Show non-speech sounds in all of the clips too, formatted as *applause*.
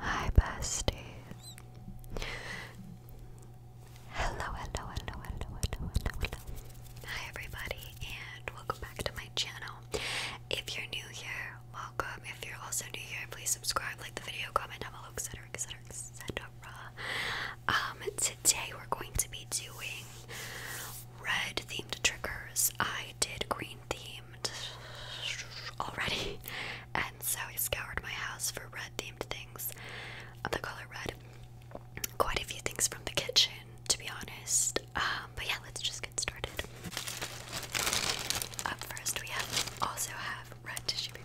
Hi, besties. Hello, hello, hello, hello, hello, hello, hello. Hi, everybody, and welcome back to my channel. If you're new here, welcome. If you're also new here, please subscribe, like the video, comment down below, etc., etc., etc. Um, today we're going to be doing red themed triggers. I did green themed already, *laughs* and so I scoured my house for red themed things of the color red. Quite a few things from the kitchen, to be honest. Um, but yeah, let's just get started. Up first, we also have red tissue paper.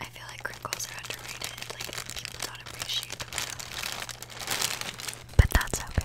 I feel like crinkles are underrated. Like people don't appreciate them, but that's okay.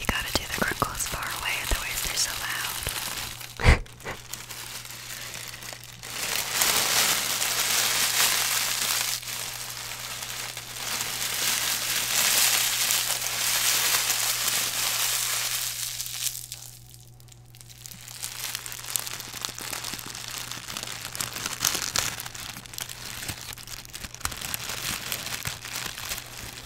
You gotta do the crinkles far away, otherwise they're so loud. *laughs*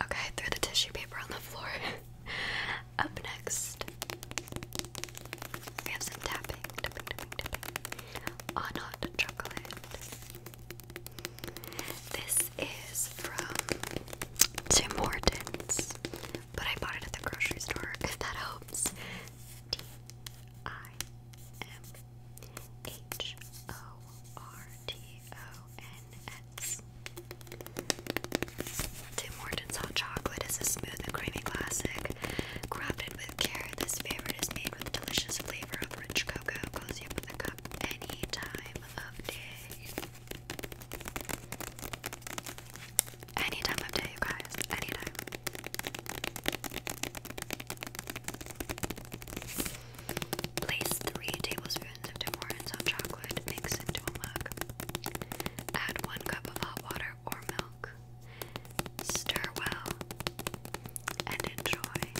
Okay, I threw the tissue paper on the floor. *laughs* Up next, we have some tapping, tapping, tapping, chocolate. This is from Tim Hortons, but I bought it at the grocery store if that helps. T I M H O R T O Tim Hortons Hot Chocolate is a smooth and creamy classic. Crafted with care, this favorite is made with delicious flavor of rich cocoa. Close you cup any time of day. Any time of day, you guys. Any time. Place three tablespoons servings of chocolate mix into a mug. Add one cup of hot water or milk. Stir well and enjoy.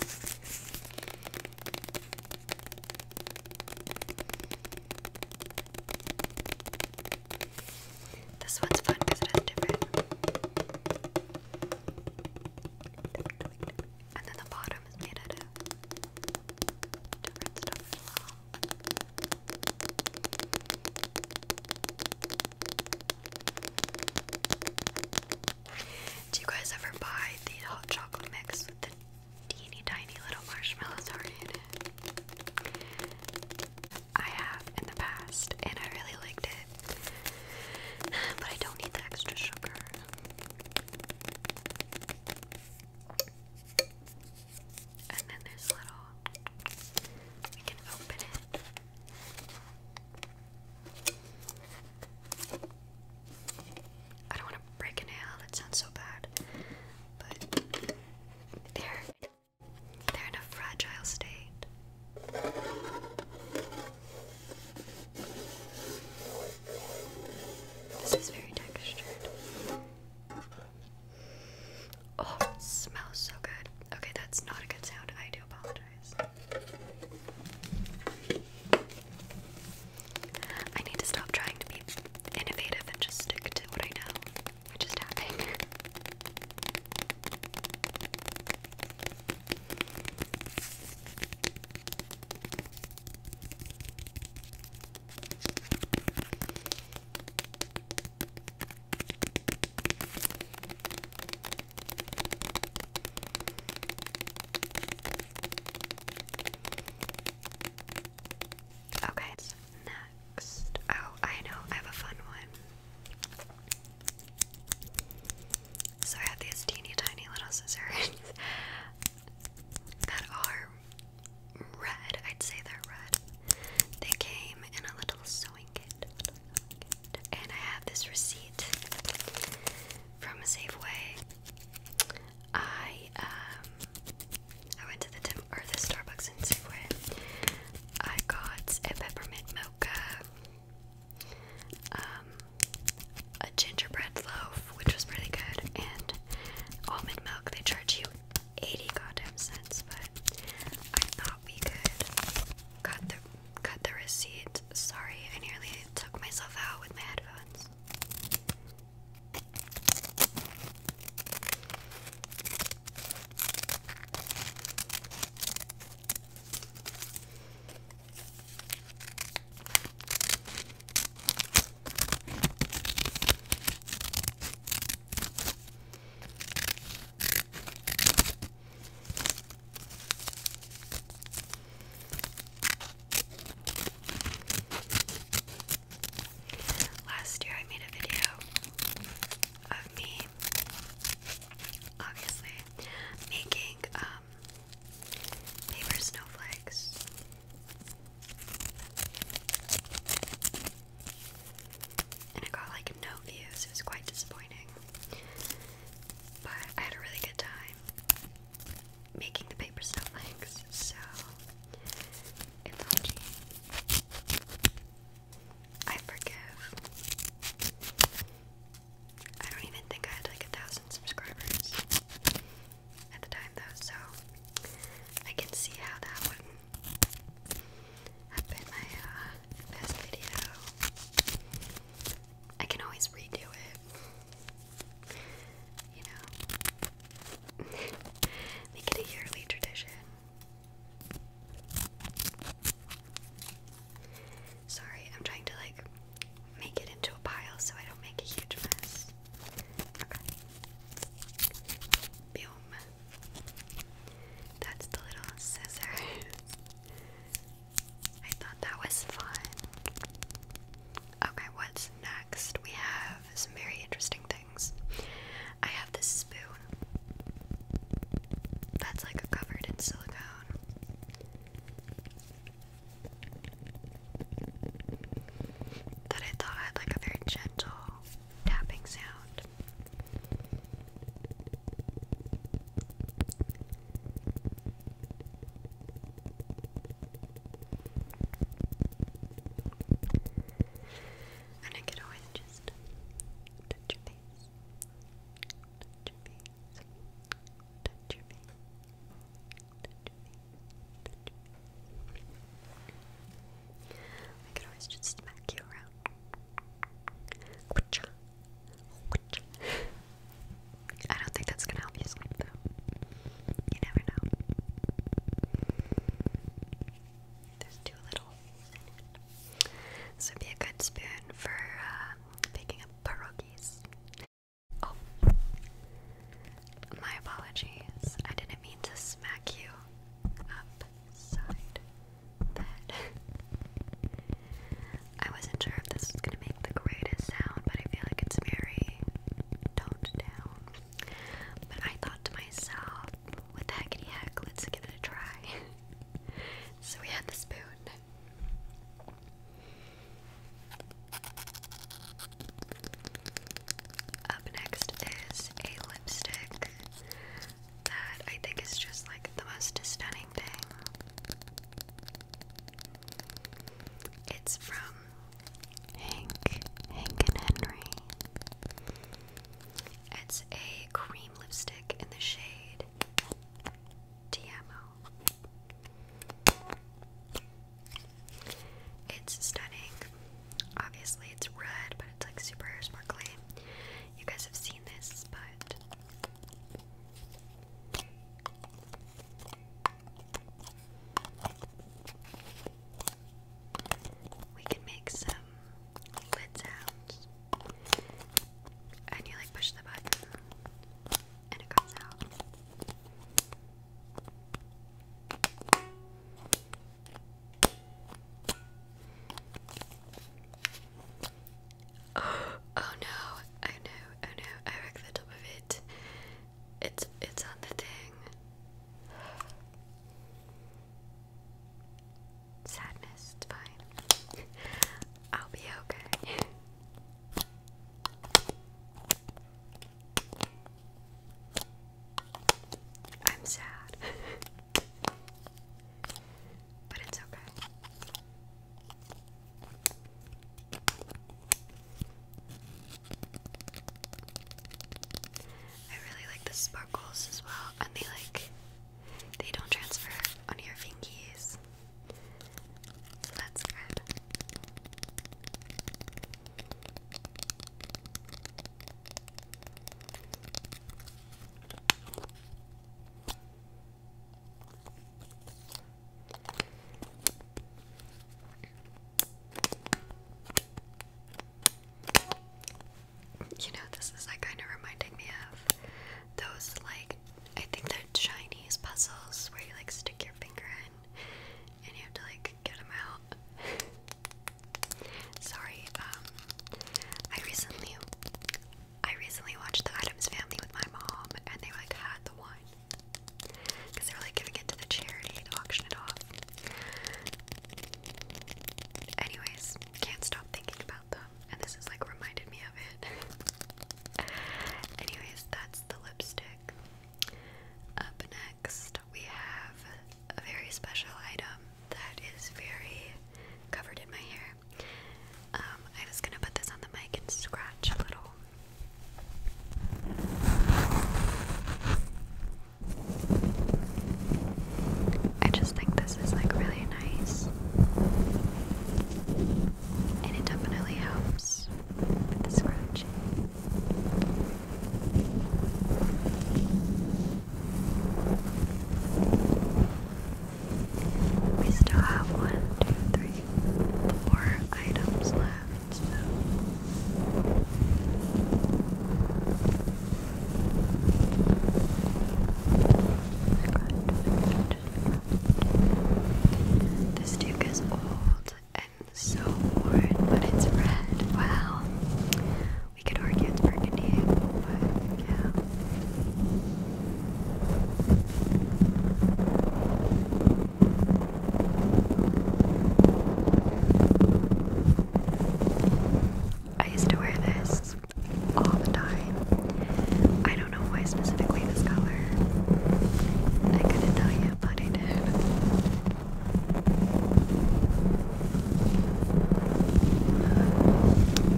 This one's fun because it has different. And then the bottom is made of do you guys ever buy the hot chocolate mix with the teeny tiny little marshmallows already I have in the past and I really liked it. *sighs* But I don't need the extra sugar. And then there's little, we can open it. I don't want to break a nail, that sounds so bad. But they're, they're in a fragile state. This is very textured. Oh, it smells so good. Okay, that's not a good sound. I do apologize. I need to stop trying to be innovative and just stick to what I know, which tapping. Okay, next. Oh, I know, I have a fun one. So I have these teeny tiny little scissors. *laughs* that are red. I'd say they're red. They came in a little sewing kit. And I have this receipt from Safeway. I um I went to the Tim or the Starbucks in Safeway. I got a peppermint mocha. Um a gingerbread loaf, which was really good, and almond milk. They charge you 80 goddamn cents, but I thought we could cut the cut the receipt. Sorry, I nearly took myself out with my headphones. Last year, I made a video of me obviously making um, paper snowflakes and it got like no views, it was quite disappointing. But I had a really good time making the paper snowflakes, so it's all I forgive. I don't even think I had like a thousand subscribers at the time though, so I can see how that would have been my uh, best video. I can always redo it, you know, *laughs* make it a yearly tradition. Sorry, I'm trying to like make it into a pile so I don't make a huge mess. Okay. Boom. That's the little scissors. I thought that was fun. Okay, what's next? We have some very interesting things. I have this spoon. That's like covered in silicone that I thought had like a very gentle tapping sound. And I could always just touch your face, touch your face, touch your face, I could always just smack you around. I don't think that's gonna help you sleep though. You never know. There's too little. This would be a good spoon for uh, picking up pierogies. Oh. my apologies. I didn't mean to smack you upside the head. *laughs* I wasn't sure if this was gonna make the greatest sound, but I feel like it's very toned down. But I thought to myself, what the heck, heckity heck, let's give it a try. *laughs* so we had the spoon. Up next is a lipstick that I think is just like the most stunning thing. It's from Hank, Hank and Henry. It's a cream lipstick in the shade Tiamo. It's stunning. Obviously, it's red, but it's like super sparkly. You guys have seen this, but. We can make some lid sounds. And you like push the button and it comes out. Oh, *gasps* no, oh no, oh no, I wrecked the top of it. It's it's on the thing. Sadness, fine. *laughs* I'll be okay. *laughs* I'm sad, *laughs* but it's okay. I really like the sparkles as well, and they like they don't transfer on your fingies. So that's good. You know, this is like kind of reminding me of those like I think they Chinese puzzles where you like stick your finger in and you have to like get them out. *laughs* Sorry, um, I recently, I recently watched the Adams Family with my mom, and they like had the wine because they were like giving it to the charity to auction it off. Anyways, can't stop thinking about them, and this is like reminded me of it. *laughs* Anyways, that's the lipstick. Up next, we have a very special item that is very covered in my hair. Um, i was gonna put this on the mic and scratch a little. I just think this is like really nice. And it definitely helps scratching. We still have one, two, three, four items left. So. This duke is old and so worn, but it's red. Wow. We could argue it's burgundy, but yeah. I used to wear this all the time. I don't know why specifically this color. I couldn't tell you.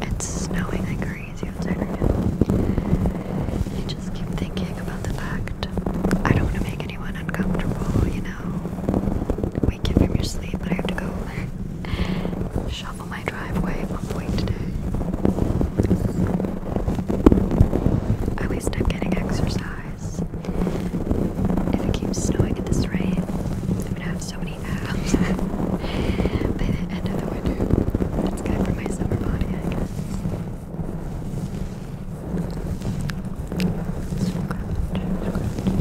It's snowing like crazy outside right just keep thinking about the fact I don't want to make anyone uncomfortable, you know. Wake from your sleep, but I have to go *laughs* shovel my driveway at one point today. I least i getting exercise. If it keeps snowing at this rate, I'm gonna have so many abs *laughs* by the end of the winter. It's good for my summer body, I guess. Scratch, scratch,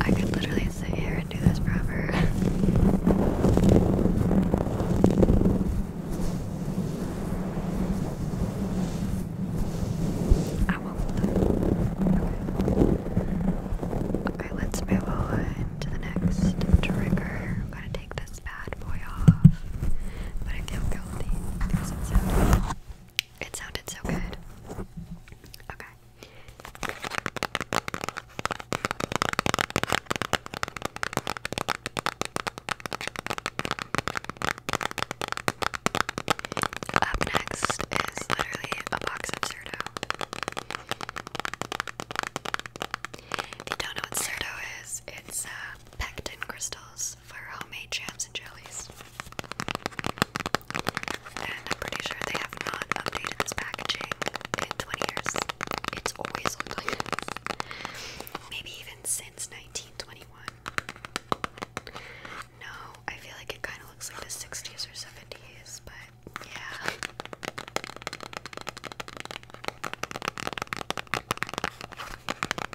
I could literally sit here and do this forever. *laughs* I will Okay. let's move on to the next trigger. I'm gonna take this bad boy off, but I feel guilty because it's it sounded so good. Okay. Up next is literally a box of Cerdo. If you don't know what Cerdo is, it's uh, pectin crystals for homemade jams and jellies. And I'm pretty sure they have not updated this packaging in 20 years. It's always looked like this. Maybe even since 1921. No, I feel like it kind of looks like the 60s or 70s, but yeah. The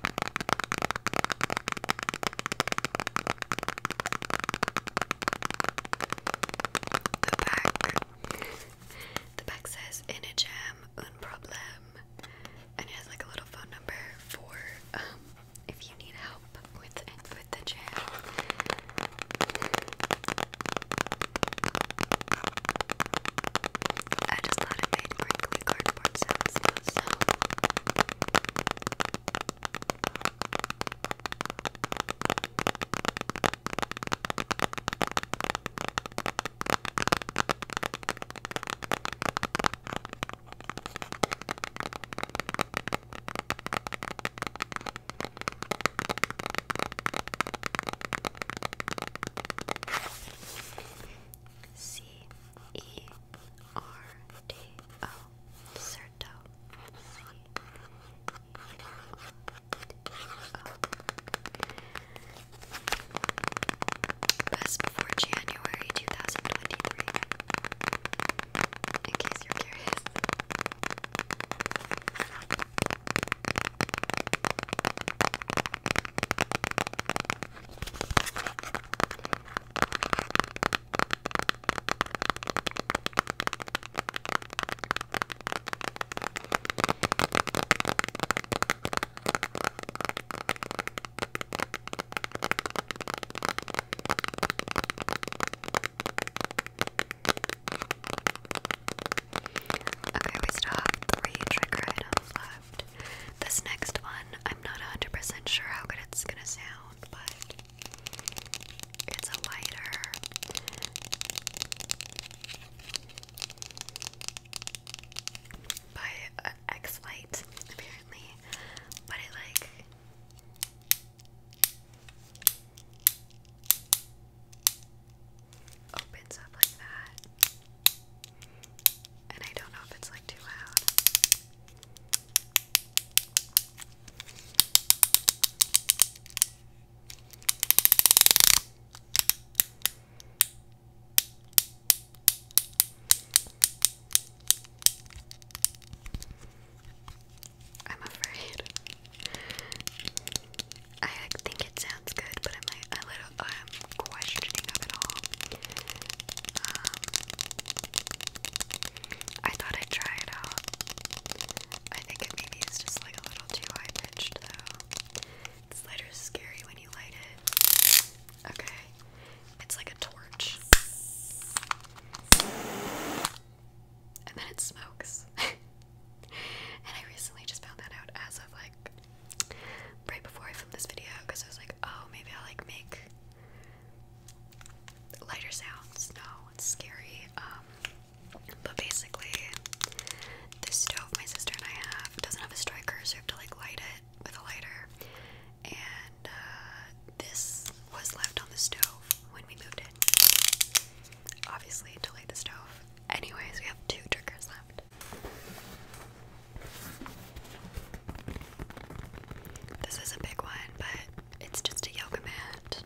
back the back says in a jam un problem and it has like a little phone number for um if you need help with with the jam. I just thought it made crinkly cardboard sounds, C E R D O oh, Certo C O Best before January 2023 In case you're curious Okay, we still three trigger items left. This next one, I'm not 100% sure how good it's gonna sound sound, but it's a lighter. By uh, X Light, apparently, but it like opens up like that, and I don't know if it's like too loud. I'm afraid. I think it sounds good, but I'm like a little um questioning of it all. Um, I thought I'd try it out. I think it maybe is just like a little too high pitched though. This lighter is scary when you light it. Okay. It's like a torch. And then it smokes. *laughs* and I recently just found that out as of like right before I filmed this video because I was like, oh, maybe I'll like make lighter sounds. No, it's scary. Um, but basically, this stove my sister and I have doesn't have a striker, so you have to like light it with a lighter. And uh, this was left on the stove when we moved in. Obviously, to light the stove. Anyways, we have two triggers left. This is a big one, but it's just a yoga mat.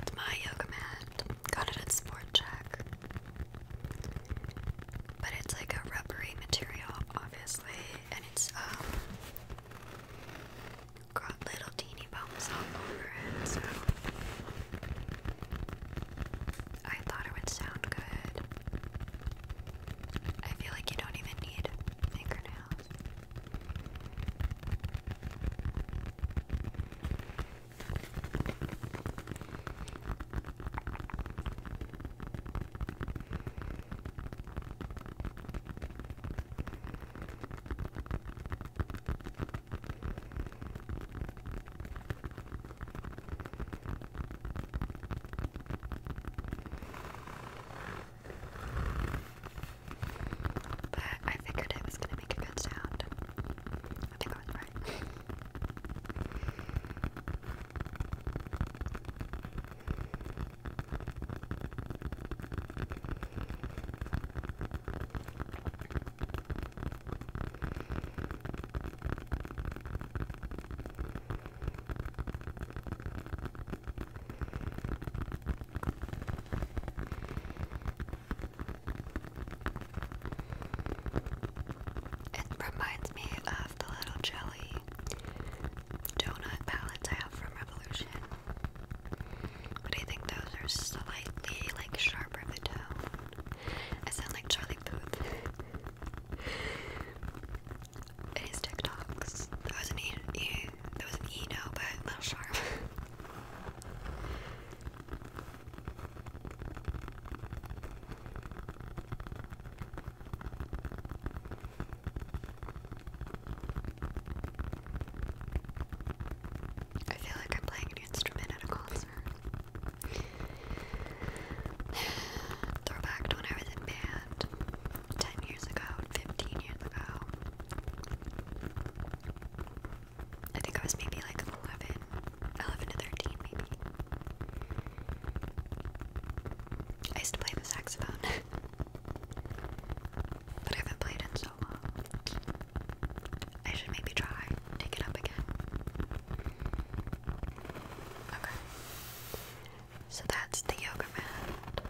It's my yoga mat. Got it at Sport Check. But it's like a rubbery material, obviously, and it's um got little teeny bumps all over it, so I thought it would sound good. I feel like you don't even need fingernails. But I figured it was gonna make a good sound. I I was right. It reminds me of the little jelly donut palettes I have from Revolution. But I think those are slightly like sharper of a tone. I sound like Charlie Booth and TikToks. That was an E, e was an E now, but little sharp. I feel like I'm playing an instrument at a concert. *sighs* Throwback to when I was in band ten years ago, 15 years ago. I think I was maybe like 11, to 13, maybe. I used to play the saxophone, *laughs* but I haven't played in so long. I should maybe try take it up again. Okay. So that's the yoga mat.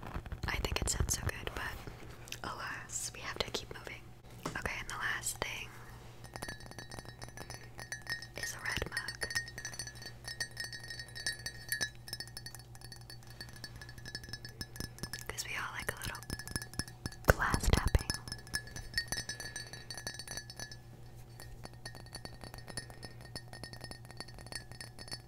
I think it sounds so good, but alas, we have to keep moving. Okay, and the last thing is a red mug. Because we all like a little glass tapping. You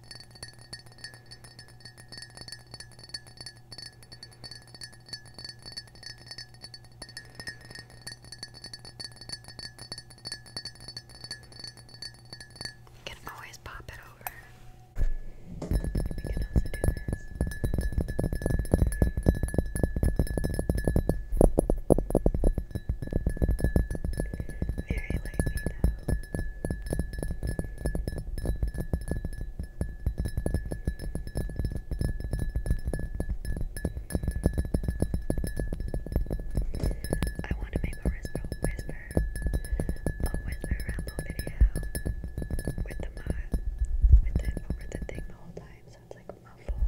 can always pop it over. We can also do this. Very lightly now. I want to make a whisper, whisper, a whisper ramble video with the mod, with it over the thing the whole time, so it's like muffled.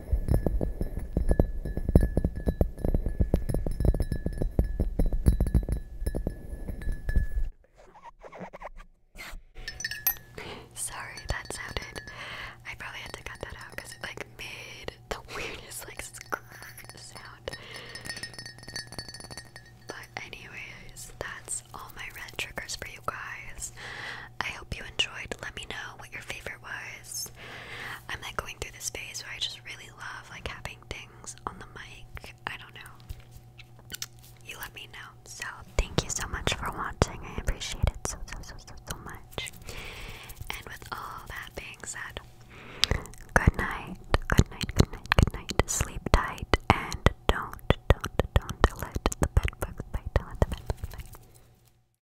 Sorry, that sounded. I probably had to cut that out because it like made the *laughs* weirdest like sound. But anyways, that's all my red triggers for you guys. I hope you enjoyed. Let me know what your favorite answer was I'm like going through this phase where I just really love like having things on the mic. I don't know. You let me know. So thank you so much for watching. I appreciate it so so so so so much. And with all that being said, good night, good night, good night, good night. Sleep tight and don't, don't, don't let the bedbugs bite. Don't let the bedbugs bite.